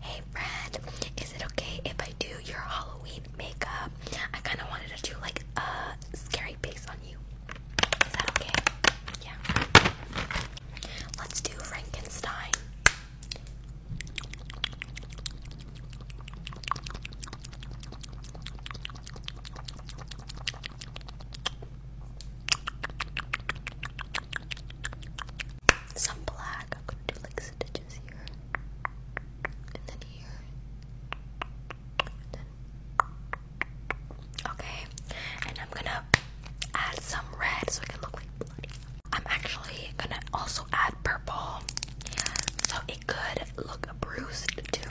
Hey Brad, is it okay if I do your Halloween makeup? I kind of wanted to do like a scary face on you. Is that okay? Yeah. Let's do Frankenstein. Some black. I'm gonna do like stitches here, and then here, and then. Okay, and I'm gonna add some red so it can look like bloody. I'm actually gonna also add purple so it could look bruised too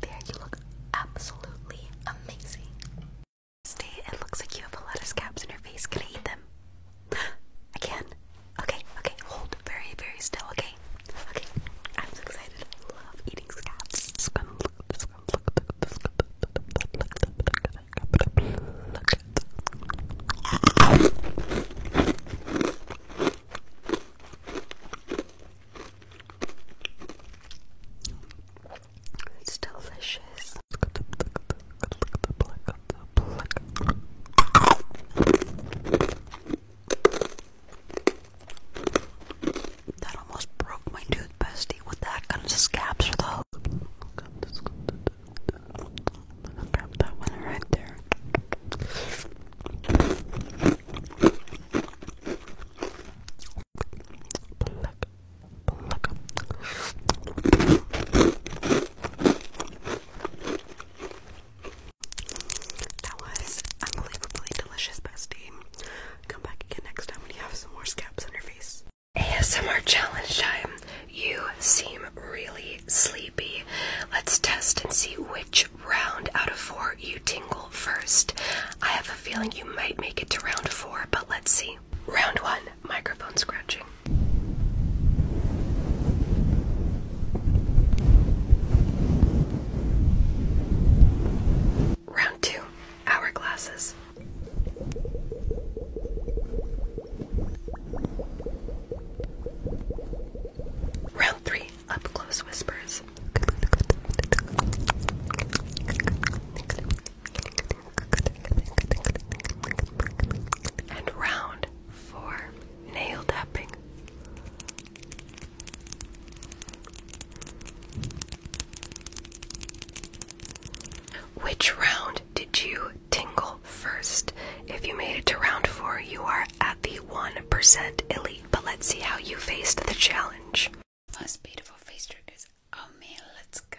there, you look absolutely amazing. Stay, it looks like you have a lot of scabs in your face. Can I eat them? I can. Okay, okay, hold very, very still, okay? Okay, I'm so excited. I love eating scabs. Just gonna look at this, look at this, look look at this, look it's delicious. That almost broke my tooth, bestie. What the heck kind of scabs are Grab that one right there. That was unbelievably delicious, bestie. Come back again next time when you have some more scabs on your face. ASMR challenge time. You seem really sleepy. Let's test and see which round out of four you tingle first. I have a feeling you might make it to round four, but let's see. Round one microphone scratching. Round two hourglasses. Round three up close whispers. And round four, nail tapping. Which round did you tingle first? If you made it to round four, you are at the 1% elite but let's see how you faced the challenge. Most oh, beautiful face triggers are oh, me. Let's go.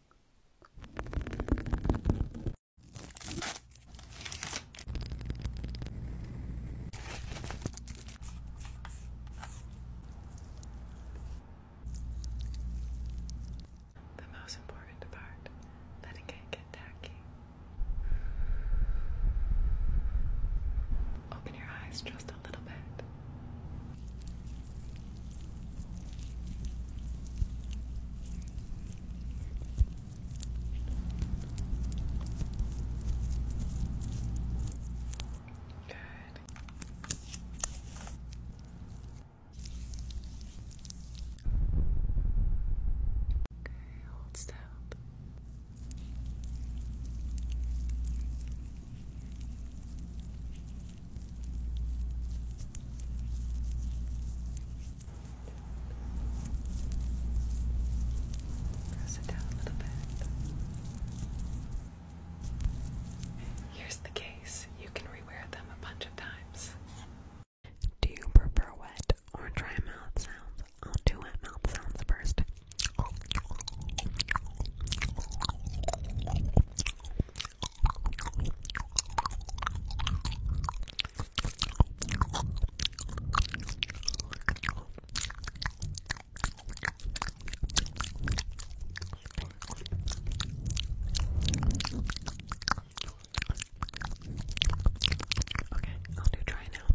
The most important part, that it get tacky. Open your eyes just a little bit. Good. Okay, hold still. Press down a little bit. Here's the case. You can rewear them a bunch of times. Do you prefer wet or dry mouth sounds? I'll do wet mouth sounds first. Okay, I'll do try now.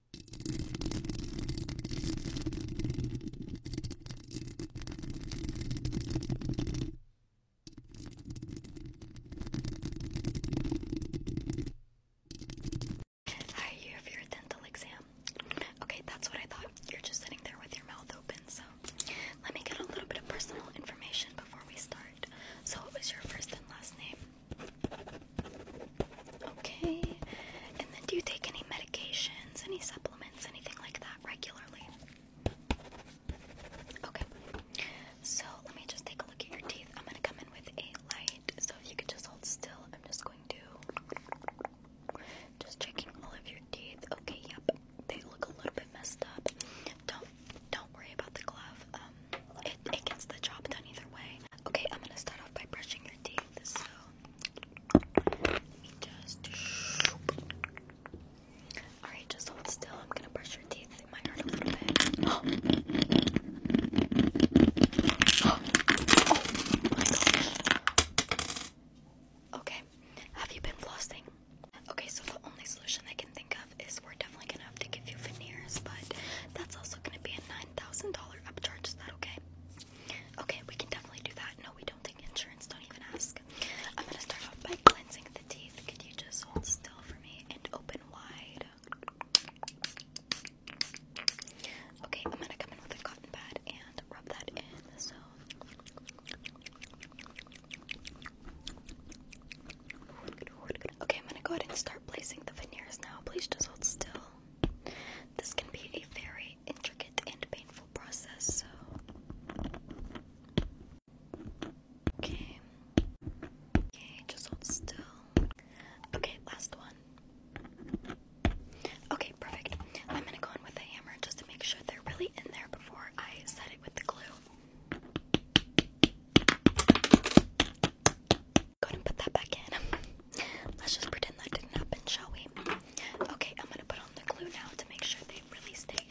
Hi, you have your dental exam. Okay, that's what I thought. You're just sitting there with your mouth open, so let me get a little bit of personal information before we start. So, what was your first and last name? Okay. And then do you take any medications, any supplements, anything like that regularly? Okay. So let me just take a look at your teeth. I'm gonna come in with a light. So if you could just hold still, I'm just going to just checking all of your teeth. Okay, yep. They look a little bit messed up. Don't don't worry about the glove. Um, it, it gets the job done either way. Okay, I'm gonna start off by brushing your teeth. So let me just. Alright, just hold still. I'm gonna brush your teeth. It might hurt a little bit. Oh, my gosh. Okay, have you been flossing? Okay, so the only solution I can is we're definitely gonna have to give you veneers, but that's also gonna be a nine thousand dollar upcharge. Is that okay? Okay, we can definitely do that. No, we don't take insurance. Don't even ask. I'm gonna start off by cleansing the teeth. Could you just hold still for me and open wide? Okay, I'm gonna come in with a cotton pad and rub that in. So. Okay, I'm gonna go ahead and start placing the veneers now. Please just hold still. This can be a very intricate and painful process, so. Okay. Okay, just hold still. Okay, last one. Okay, perfect. I'm gonna go in with a hammer just to make sure they're really in there before I set it with the glue. Go ahead put that back in. Let's just pretend that didn't happen, shall we? Okay, I'm gonna put on the glue now to make sure they really stay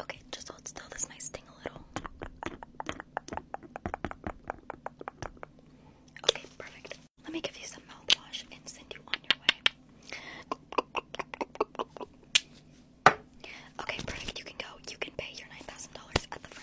Okay, just hold still. This might sting a little. Okay, perfect. Let me give you some mouthwash and send you on your way. Okay, perfect. You can go. You can pay your $9,000 at the front.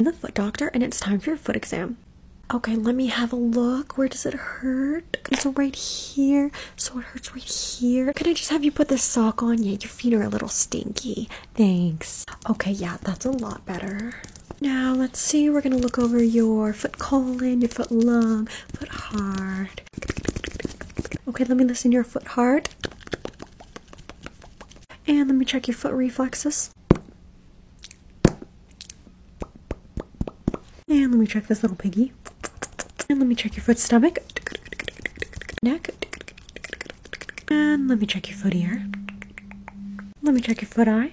the foot doctor and it's time for your foot exam. Okay, let me have a look. Where does it hurt? So right here. So it hurts right here. Can I just have you put this sock on? Yeah, your feet are a little stinky. Thanks. Okay, yeah, that's a lot better. Now let's see, we're gonna look over your foot colon, your foot lung, foot hard. Okay, let me listen to your foot hard. And let me check your foot reflexes. And let me check this little piggy. And let me check your foot stomach. Neck. And let me check your foot ear. Let me check your foot eye.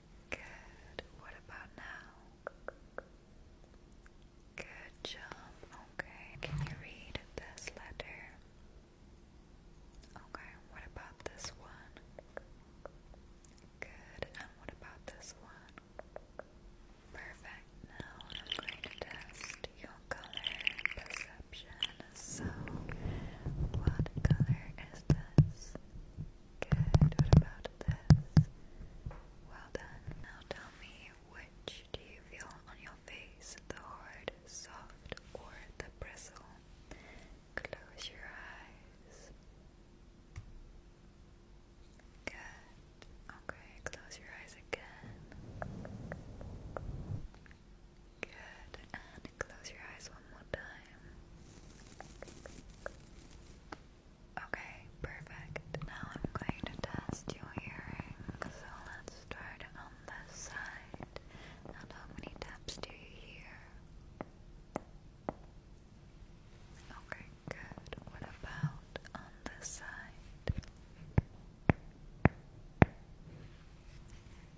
Good. What about now? Good job. Okay. Can you read this letter? Okay. What about this one? Good. And what about this one? Perfect. Now I'm going to test your color perception. So, what color is this? Good. What about this? Well done. Now tell me which do you feel on your face? The hard, soft, or the bristle? Close your eyes. Good. Okay, close your eyes again. Good. Close your eyes one more time. Okay, perfect. Now I'm going to test your hearing. So let's start on this side. And how many taps do you hear? Okay, good. What about on this side?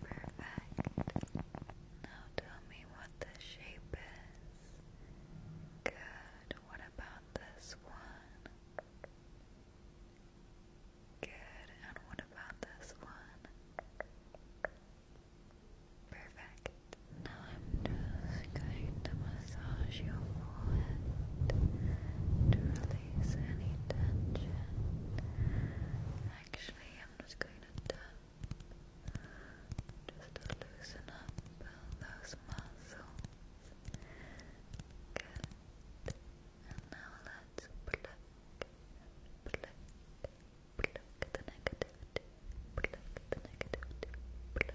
Perfect. Now tell me what the shape is. Good. What about this one? Good. And what about this one? Perfect. Now I'm just going to massage your forehead to release any tension. Actually, I'm just going to just to loosen up those muscles. And now let's pluck, pluck, pluck the negativity, pluck the negativity, pluck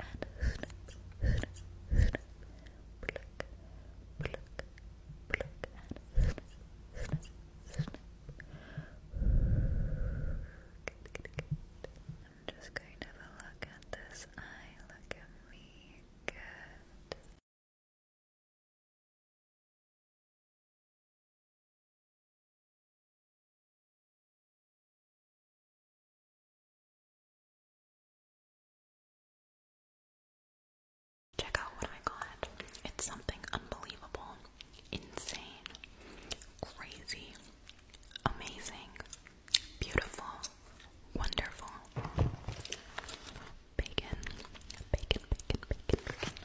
and snip, snip, snip, pluck, pluck, pluck and snip, snip, snip. Good, good, I'm just going to look at this eye. Look me. Good. Check out what I got. It's something unbelievable, insane, crazy, amazing, beautiful, wonderful. Bacon, bacon, bacon, bacon,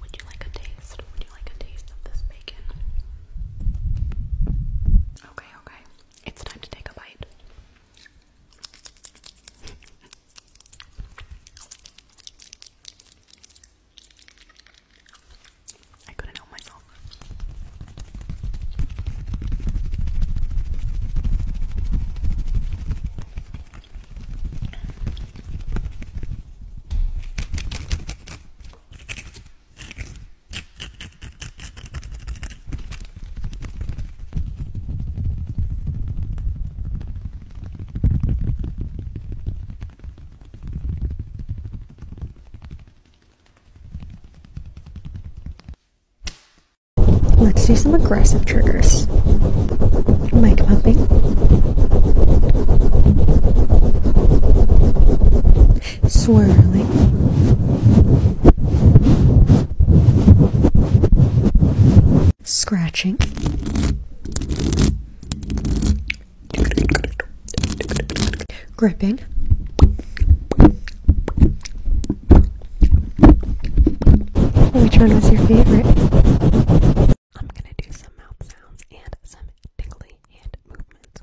Would you like a taste? Would you like Okay, okay. It's time to take a bite. I couldn't help myself. Let's do some aggressive triggers mic popping. Swirling. Scratching. Gripping. Which one was your favorite? I'm gonna do some mouth sounds and some tingly hand movements.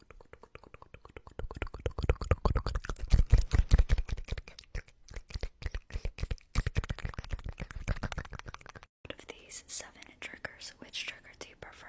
Out of these seven triggers, which trigger do you prefer?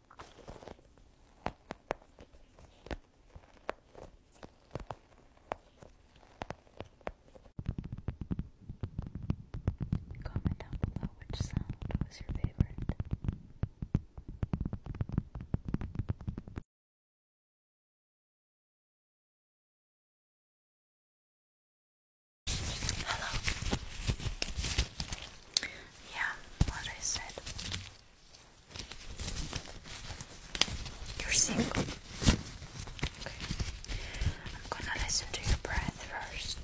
Comment down below which sound was your favorite. Hello. Yeah, what I said. You're single. Okay. I'm gonna listen to your breath first.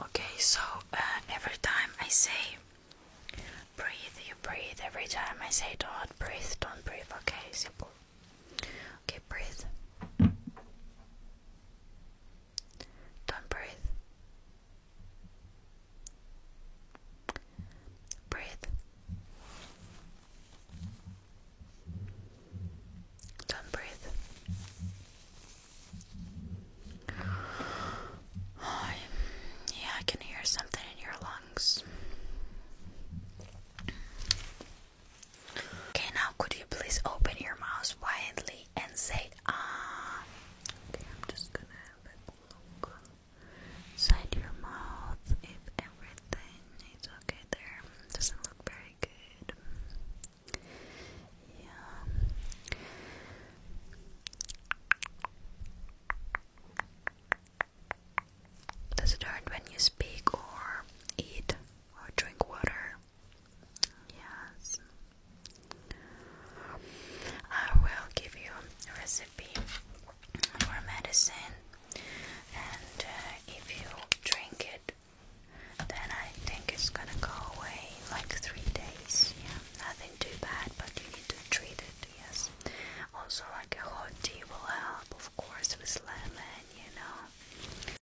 Okay, so uh, every time I say breathe, you breathe. Every time I say don't breathe, don't breathe. Okay, simple. Okay, breathe. Don't breathe. Breathe. Don't breathe. yeah, I can hear something in your lungs. Okay, now could you please open your mouth widely and say ah. Okay, I'm just gonna have a look inside your mouth if everything is okay there. Doesn't look very good. Yeah. Does it hurt when you speak or eat or drink water? Yes. I will give you a recipe for medicine, and uh, if you drink it, then I think it's gonna go away like three days. nothing too bad, but you need to treat it. Yes. Also, like a hot tea will help, of course, with lemon, you know.